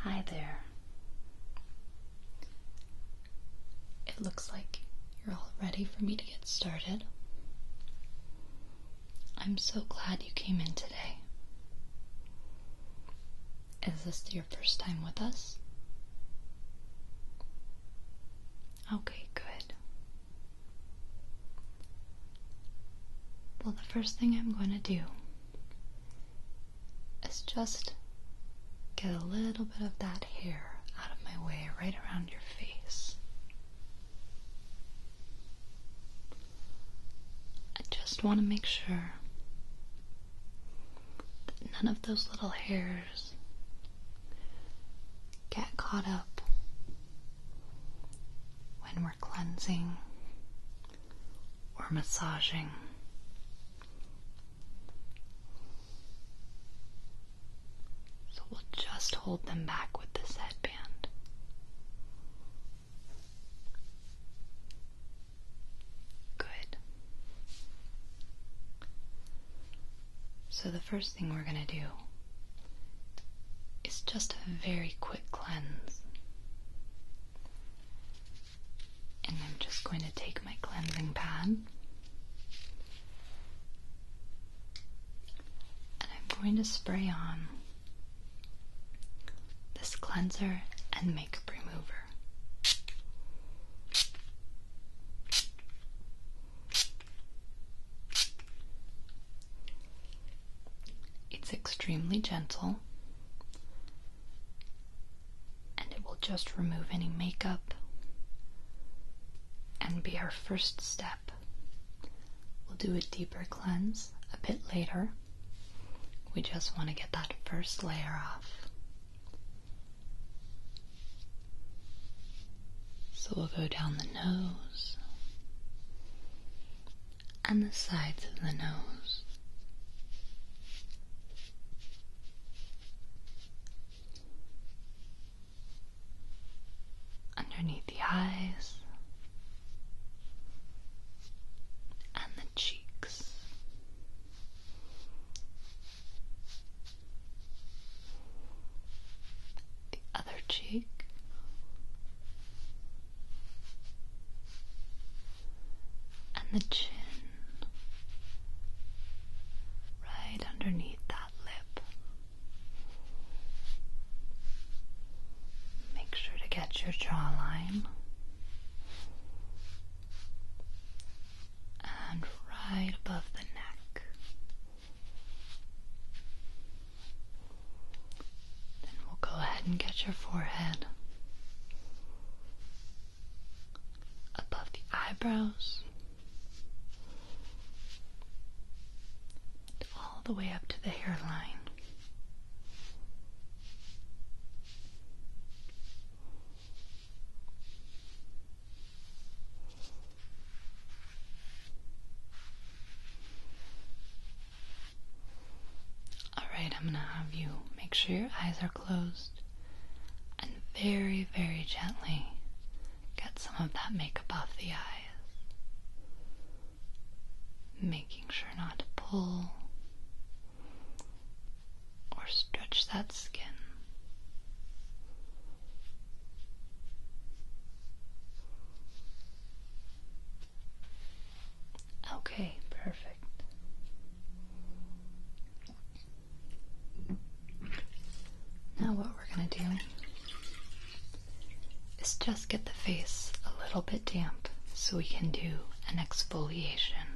Hi there. It looks like you're all ready for me to get started. I'm so glad you came in today. Is this your first time with us? Okay, good. Well, the first thing I'm going to do is just get a little bit of that hair out of my way right around your face. I just want to make sure that none of those little hairs get caught up when we're cleansing or massaging. So we'll just hold them back with this headband. Good. So the first thing we're going to do is just a very quick cleanse. And I'm just going to take my cleansing pad and I'm going to spray on this cleanser and makeup remover. It's extremely gentle and it will just remove any makeup and be our first step. We'll do a deeper cleanse a bit later. We just want to get that first layer off. So we'll go down the nose and the sides of the nose. Underneath the eyes and the cheeks. The other cheek and the chin right underneath that lip. Make sure to get your jawline and right above the neck. Then we'll go ahead and get your forehead above the eyebrows all the way up to the hairline. Alright, I'm gonna have you make sure your eyes are closed and very, very gently get some of that makeup off the eyes. Making sure not to pull or stretch that skin. Okay, perfect. Now, what we're going to do is just get the face a little bit damp so we can do an exfoliation.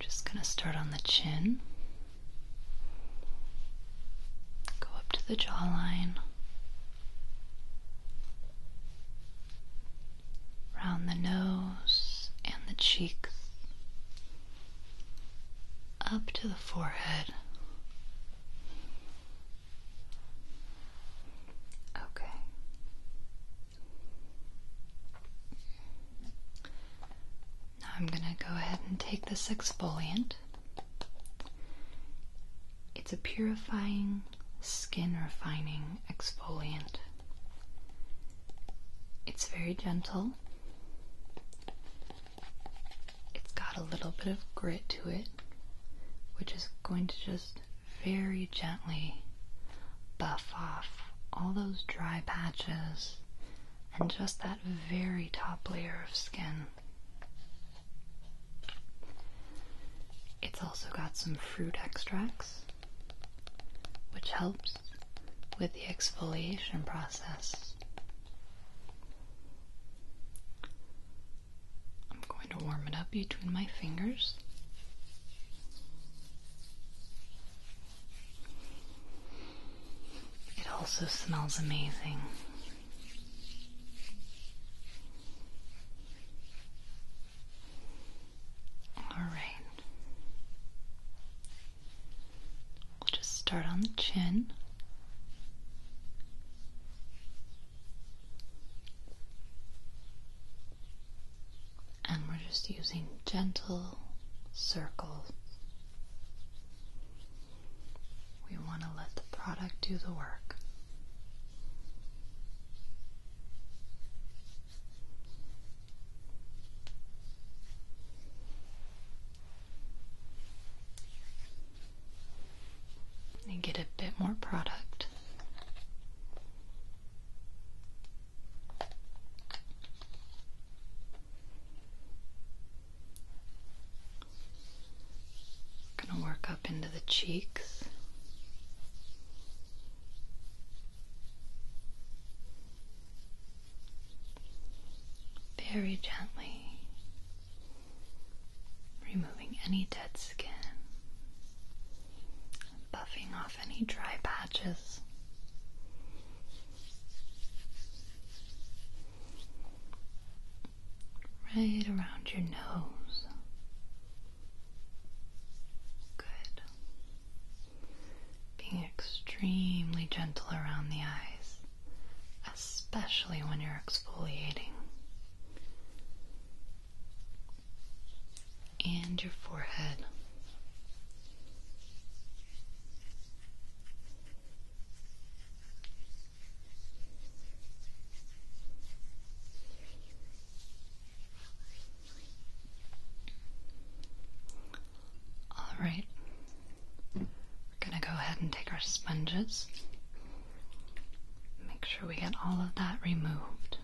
Just going to start on the chin. Go up to the jawline, round the nose and the cheeks, up to the forehead. Okay. I'm going to go ahead and take this exfoliant. It's a purifying, skin refining exfoliant. It's very gentle. It's got a little bit of grit to it, which is going to just very gently buff off all those dry patches and just that very top layer of skin. It's also got some fruit extracts, which helps with the exfoliation process. I'm going to warm it up between my fingers. It also smells amazing. All right. We'll just start on the chin. And we're just using gentle circles we want to let the product do the work. And get a bit more product. We're going to work up into the cheeks. Very gently removing any dead skin, buffing off any dry patches right around your nose. Good. Being extremely gentle around the eyes, especially when you're exfoliating. And your forehead. All right. We're going to go ahead and take our sponges. Make sure we get all of that removed.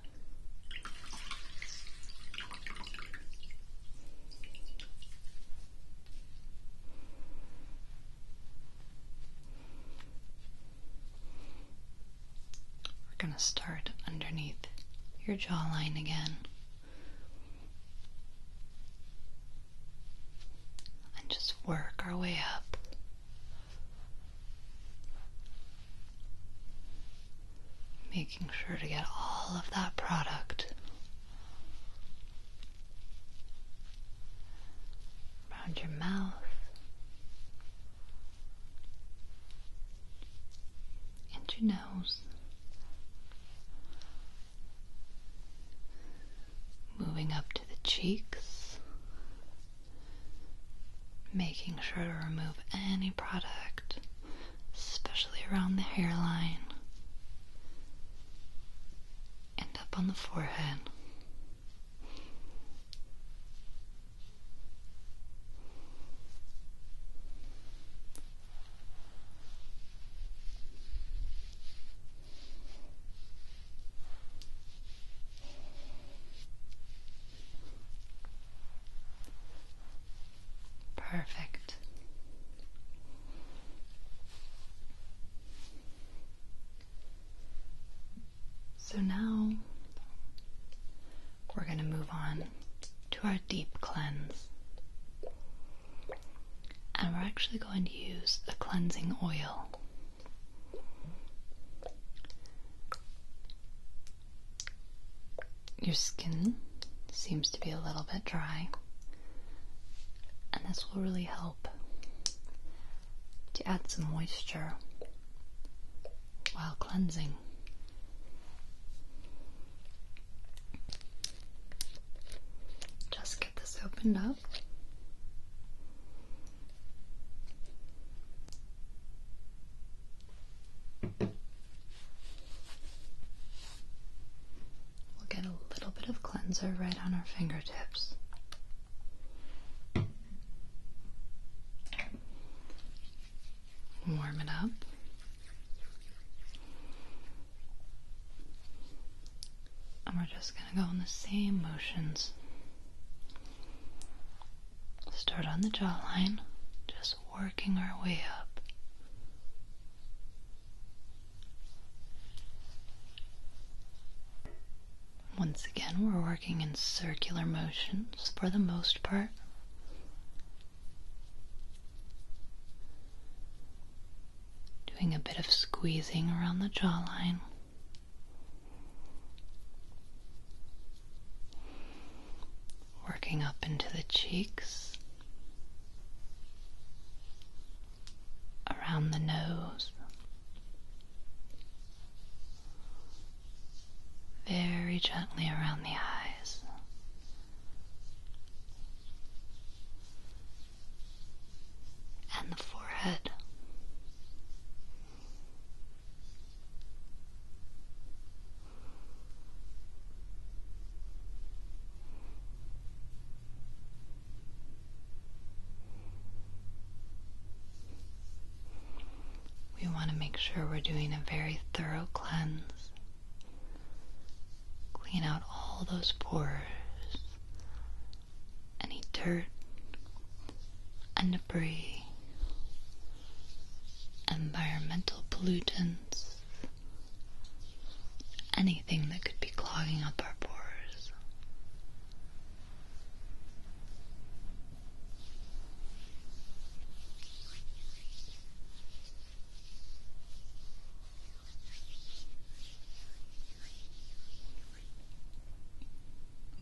We're going to start underneath your jawline again. And just work our way up. Making sure to get all of that product around your mouth, and your nose. Moving up to the cheeks, making sure to remove any product, especially around the hairline and up on the forehead. Perfect. So now we're going to move on to our deep cleanse. And we're actually going to use a cleansing oil. Your skin seems to be a little bit dry, and this will really help to add some moisture while cleansing. Just get this opened up. We'll get a little bit of cleanser right on our fingertips. Warm it up. And we're just going to go in the same motions. Start on the jawline, just working our way up. Once again, we're working in circular motions for the most part. Doing a bit of squeezing around the jawline. Working up into the cheeks around the nose, very gently around the eyes. And the forehead. We want to make sure we're doing a very thorough cleanse. Clean out all those pores, any dirt and debris, environmental pollutants, anything that could be clogging up our pores.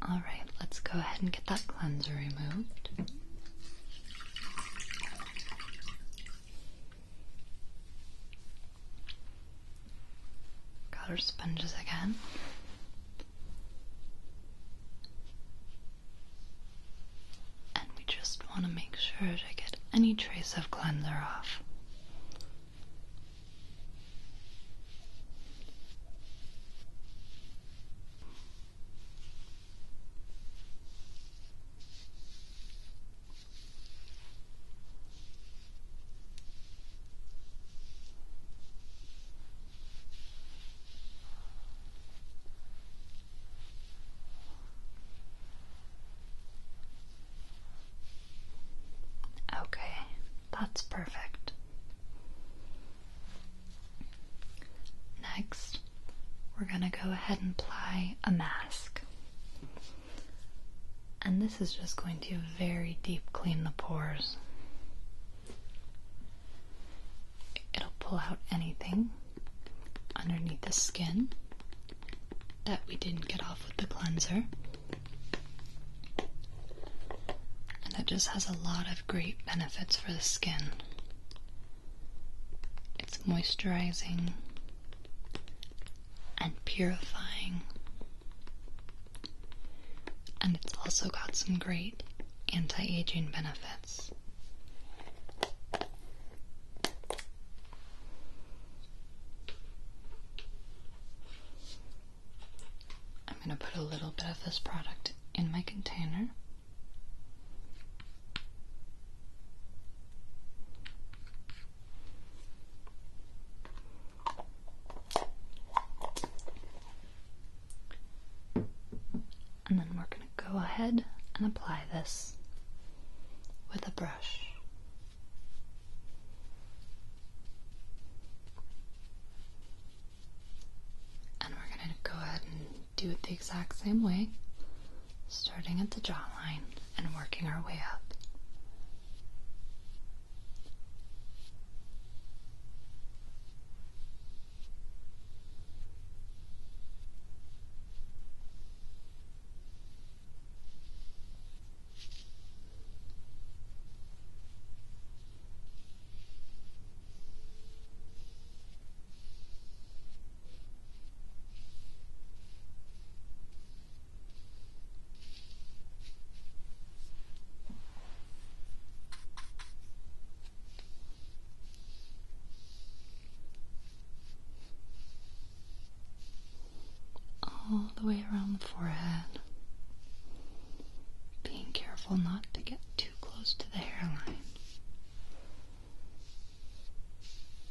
All right, let's go ahead and get that cleanser removed. Got our sponges again. And we just want to make sure to get any trace of cleanser off. Okay, that's perfect. Next, we're going to go ahead and apply a mask. And this is just going to very deep clean the pores. It'll pull out anything underneath the skin that we didn't get off with the cleanser. And it just has a lot of great benefits for the skin. It's moisturizing, and purifying. And it's also got some great anti aging benefits. I'm going to put a little bit of this product in my container. And then we're going to go ahead and apply this with a brush. And we're going to go ahead and do it the exact same way starting at the jawline and working our way up. All the way around the forehead, being careful not to get too close to the hairline.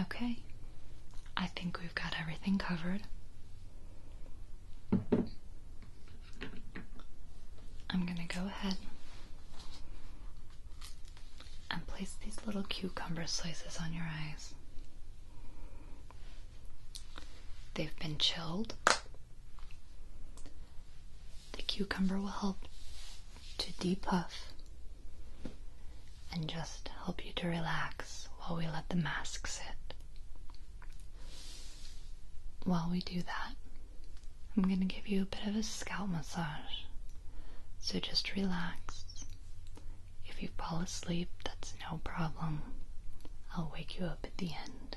Okay, I think we've got everything covered. I'm going to go ahead and place these little cucumber slices on your eyes. They've been chilled. The cucumber will help to depuff and just help you to relax while we let the mask sit. While we do that, I'm going to give you a bit of a scalp massage. So just relax if you fall asleep, that's no problem. I'll wake you up at the end.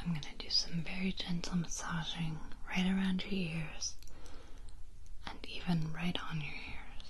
I'm going to do some very gentle massaging right around your ears and even right on your ears.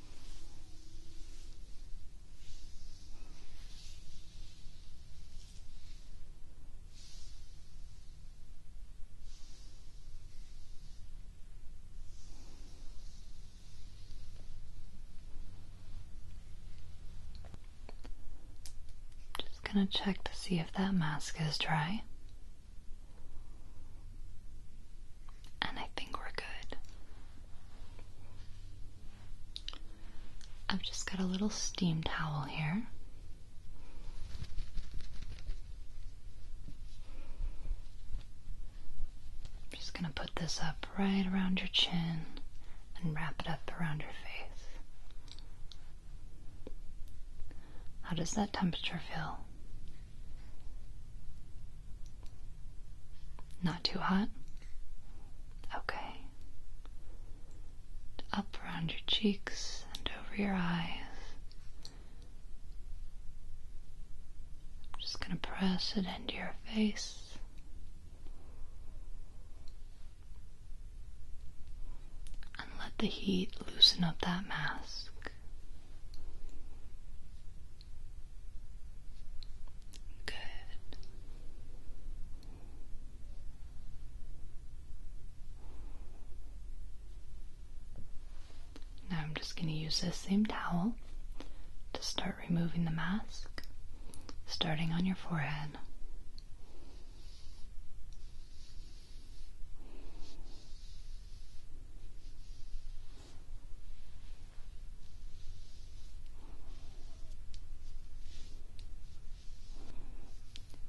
Just gonna check to see if that mask is dry and I think we're good. I've just got a little steam towel here. just going to put this up right around your chin and wrap it up around your face. How does that temperature feel? Not too hot? Okay. Up around your cheeks and over your eyes. just going to press it into your face. And let the heat loosen up that mask. Good. Now I'm just going to use this same towel to start removing the mask, starting on your forehead.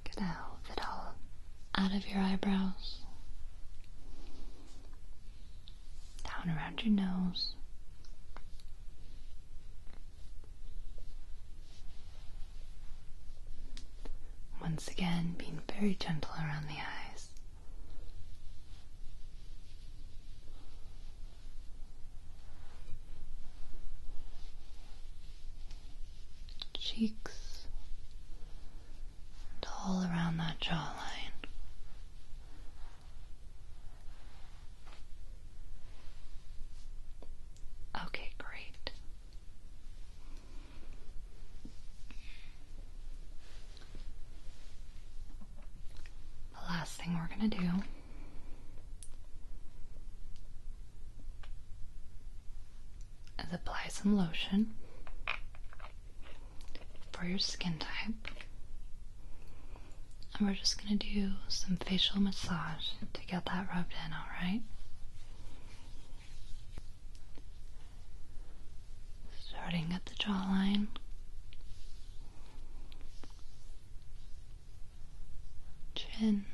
Get out of it all out of your eyebrows, down around your nose. Once again, being very gentle around the eyes cheeks, and all around that jawline. Okay, great. The last thing we're going to do is apply some lotion for your skin type. And we're just going to do some facial massage to get that rubbed in, alright? starting at the jawline. Chin,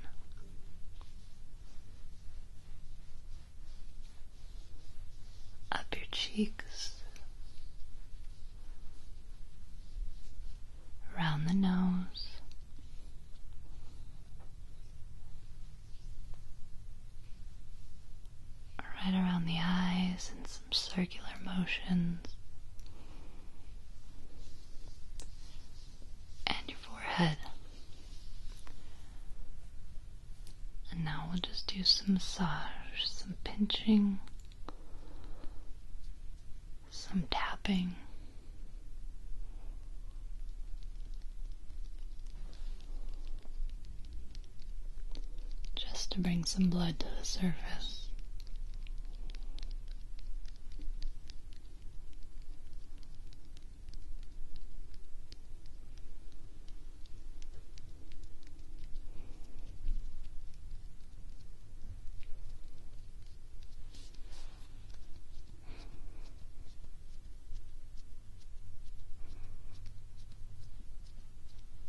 up your cheeks, around the nose, right around the eyes and some circular motions. And your forehead. And now we'll just do some massage, some pinching, some tapping just to bring some blood to the surface.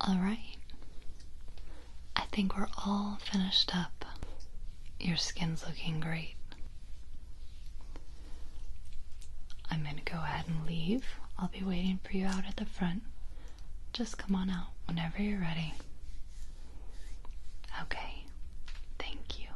All right. I think we're all finished up. Your skin's looking great. I'm going to go ahead and leave. I'll be waiting for you out at the front. Just come on out whenever you're ready. Okay. Thank you.